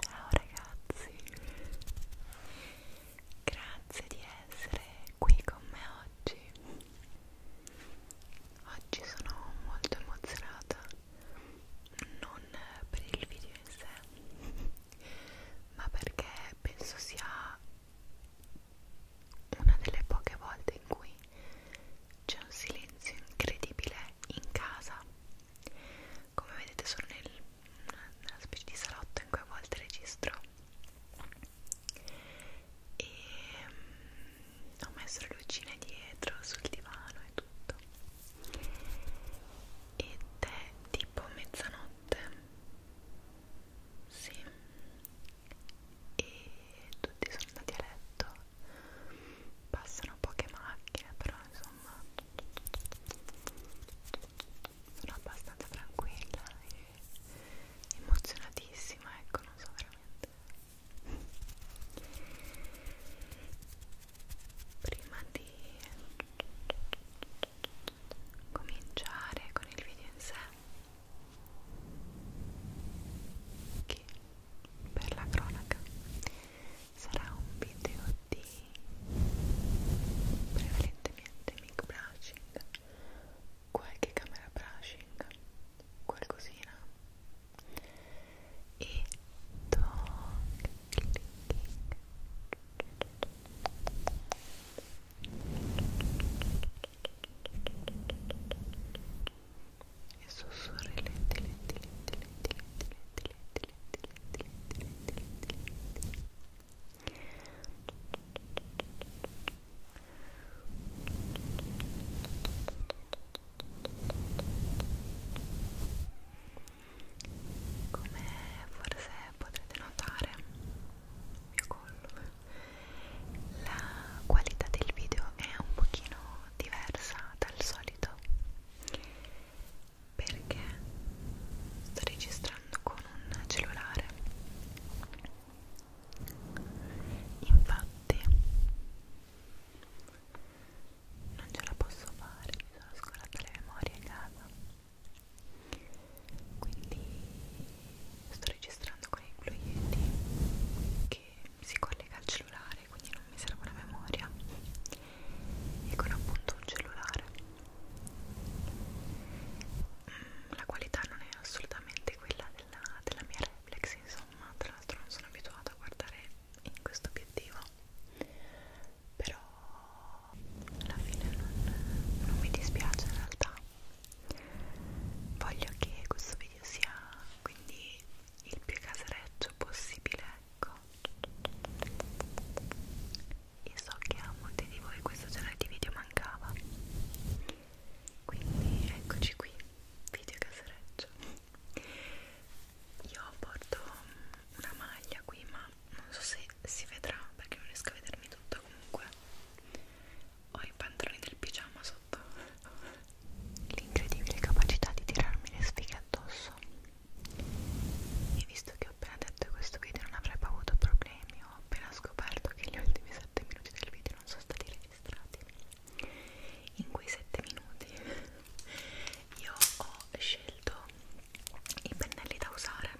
Ciao ragazzi, grazie di essere qui con me oggi. Oggi sono molto emozionata, non per il video in sé, ma perché penso sia una delle poche volte in cui c'è un silenzio incredibile in casa come vedete sono nel, nella specie di salotto in cui a volte registro e um, ho messo le lucine dietro sul divano e tutto ed è tipo mezzanotte sì e tutti sono andati a letto passano poche macchine però insomma sono abbastanza tranquilla e emozionatissima ecco non so veramente prima di cominciare con il video in sé che per la cronaca sarà un video di prevalentemente mic brushing qualche camera brushing qualcosina e dog clicking e sussurri lenti lenti lenti lenti lenti lenti lenti lenti lenti lenti lenti lenti come forse potrete notare il mio collo la qualità del video è un pochino diversa dal solito perché sto registrando con un cellulare infatti non ce la posso fare mi sono scorata le memorie a casa quindi sto registrando con il Blue Yeti che si collega al cellulare quindi non mi serve la memoria e con appunto un cellulare mm, la qualità non è assolutamente quella della, della mia reflex insomma tra l'altro non sono abituata a guardare in questo obiettivo però alla fine non, non mi dispiace in realtà voglio che questo video sia quindi il più casereccio possibile ecco io so che a molti di voi questo genere di video mancava quindi eccoci qui video casereccio io porto una maglia qui ma non so se si vedrà perché non riesco a vedermi tutta comunque ho i pantaloni del pigiama sotto l'incredibile capacità di tirarmi le sfighe addosso e visto che ho appena detto che questo video non avrei avuto problemi ho appena scoperto che gli ultimi 7 minuti del video non sono stati registrati in quei 7 minuti io ho scelto i pennelli da usare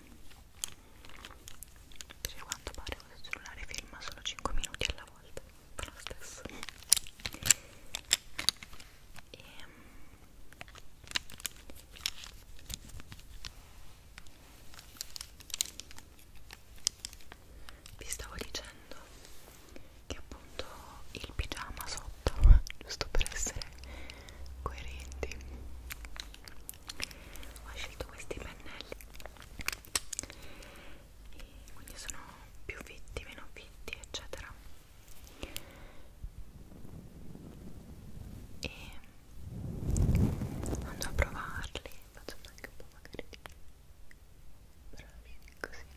perché quanto pare questo cellulare filma solo 5 minuti alla volta, però lo stesso. E, ehm, vi stavo dicendo che appunto il pigiama sotto, giusto per essere coerenti ho scelto questi pennelli e quindi sono più fitti, meno fitti eccetera e andrò a provarli facciamo anche un po' magari bravi così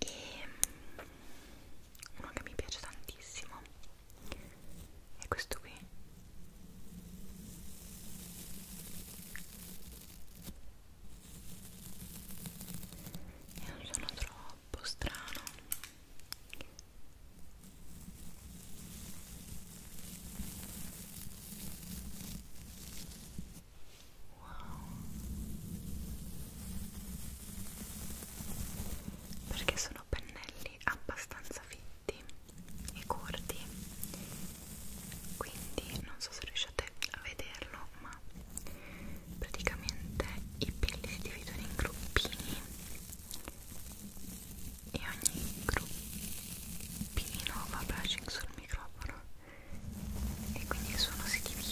e mm, uno che mi piace tantissimo è questo qui è un suono troppo strano Wow. Perché sono pennelli abbastanza fitti e corti, quindi non so se riuscite a vederlo, ma praticamente i pelli si dividono in gruppini e ogni gruppino va brushing sul microfono e quindi il suono si divide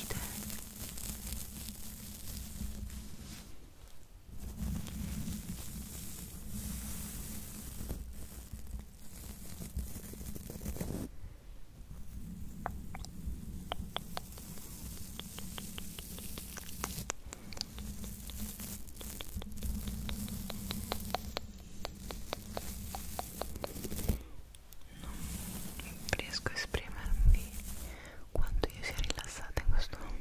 non riesco a esprimermi quanto io sia rilassata in questo momento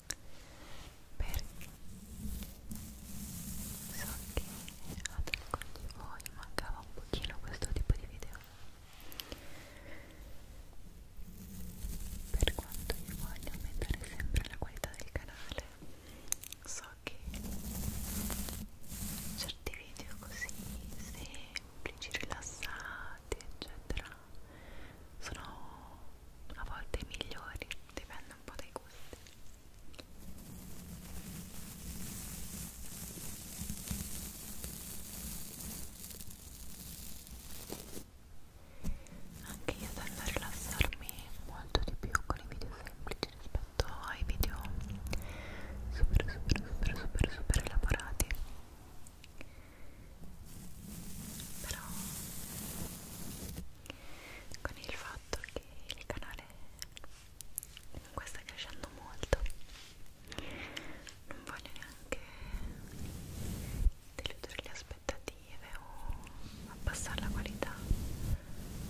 perché so che ad alcuni di voi mancava un pochino questo tipo di video per quanto io voglio aumentare sempre la qualità del canale so che certi video così semplici rilassati eccetera sono a volte migliori, dipende un po' dai gusti. Anche io tendo a rilassarmi molto di più con i video semplici rispetto ai video super super super super super elaborati però con il fatto che il canale comunque sta crescendo molto non voglio neanche deludere le aspettative o abbassare la qualità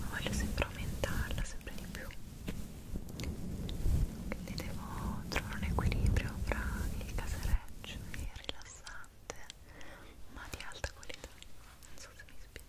ma voglio sempre aumentarla sempre di più quindi devo trovare un equilibrio fra il casereccio e rilassare interessante ma di alta qualità non so se mi spiego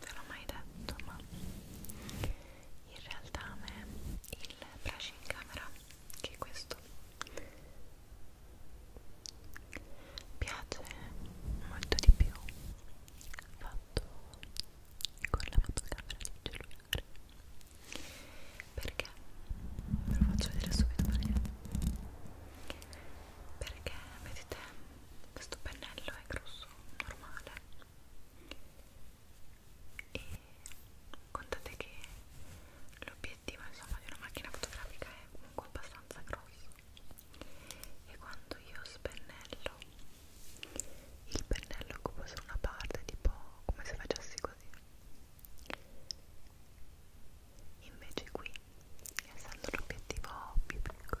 ve l'ho mai detto ma in realtà a me il flash in camera che è questo piace molto di più fatto con la fotocamera di cellulare perché ve lo faccio vedere subito perché perché vedete questo pennello è grosso normale e contate che l'obiettivo insomma di una macchina fotografica è comunque abbastanza grosso e quando io spennello il pennello occupa solo una parte tipo come se facessi così invece qui essendo l'obiettivo più piccolo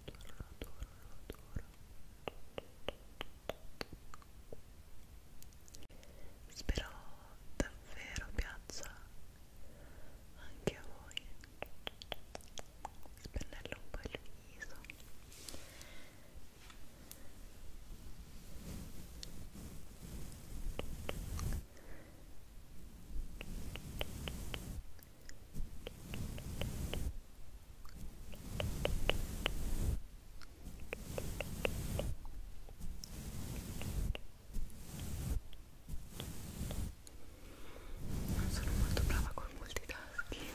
adoro, adoro, adoro. Spero davvero piaccia anche a voi. Spennello un po' il viso. Non sono molto brava col multitasking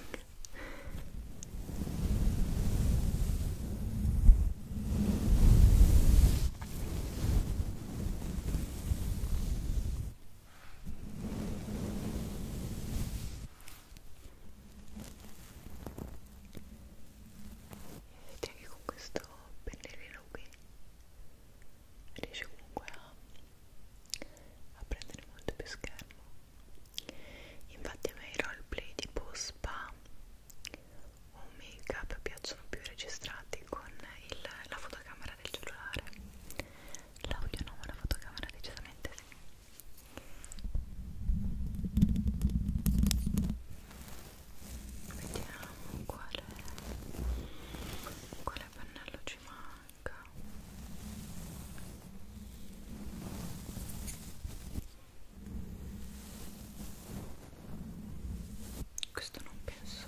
e vedete che con questo pennellino qui riesce comunque a, a prendere molto più schermo infatti a me i roleplay tipo spa o make up piacciono più registrati con il, la fotocamera del cellulare l'audio no ma la fotocamera decisamente sì vediamo quale quale pennello ci manca questo non penso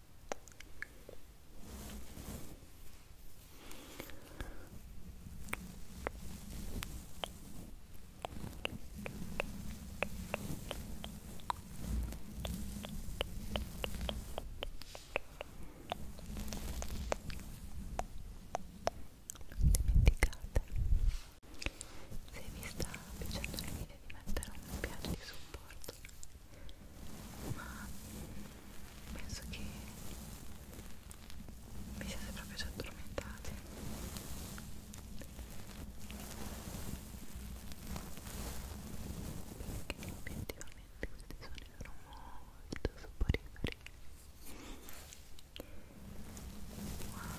non dimenticate se vi sta piacendo l'idea di mettere un mi piace di supporto ma penso che vi siete proprio già addormentati perché obiettivamente questi suoni sono molto soporiferi wow wow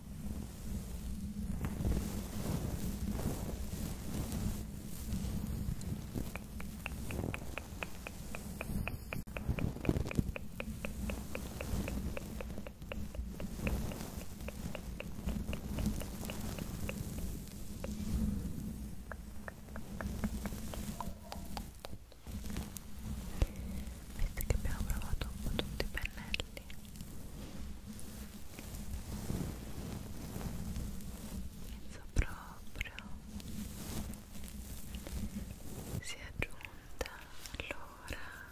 Visto che abbiamo provato un po' tutti i pennelli capelli penso proprio sia giunta l'ora di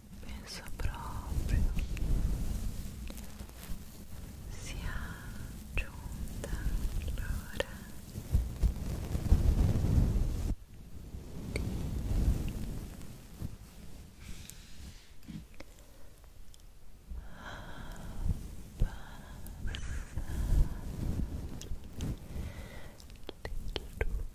penso proprio sia giunta l'ora di abbassare ah, il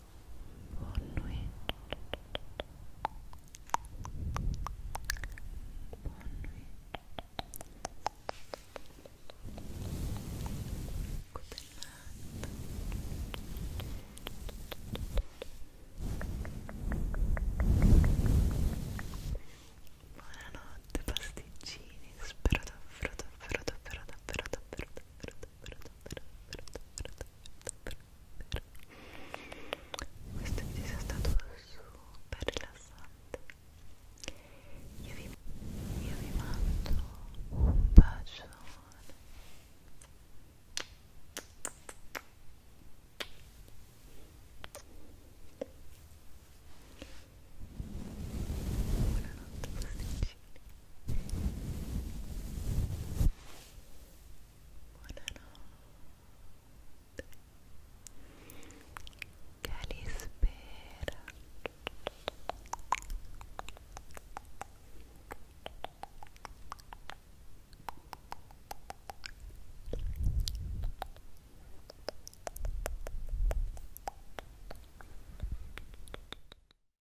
Buon nuit. Buon Buonanotte pasticcini, spero davvero davvero davvero davvero davvero davvero davvero davvero davvero davvero davvero, davvero questo video è stato super rilassante io vi, io vi mando un bacione buonanotte posticini Buonanotte Calispera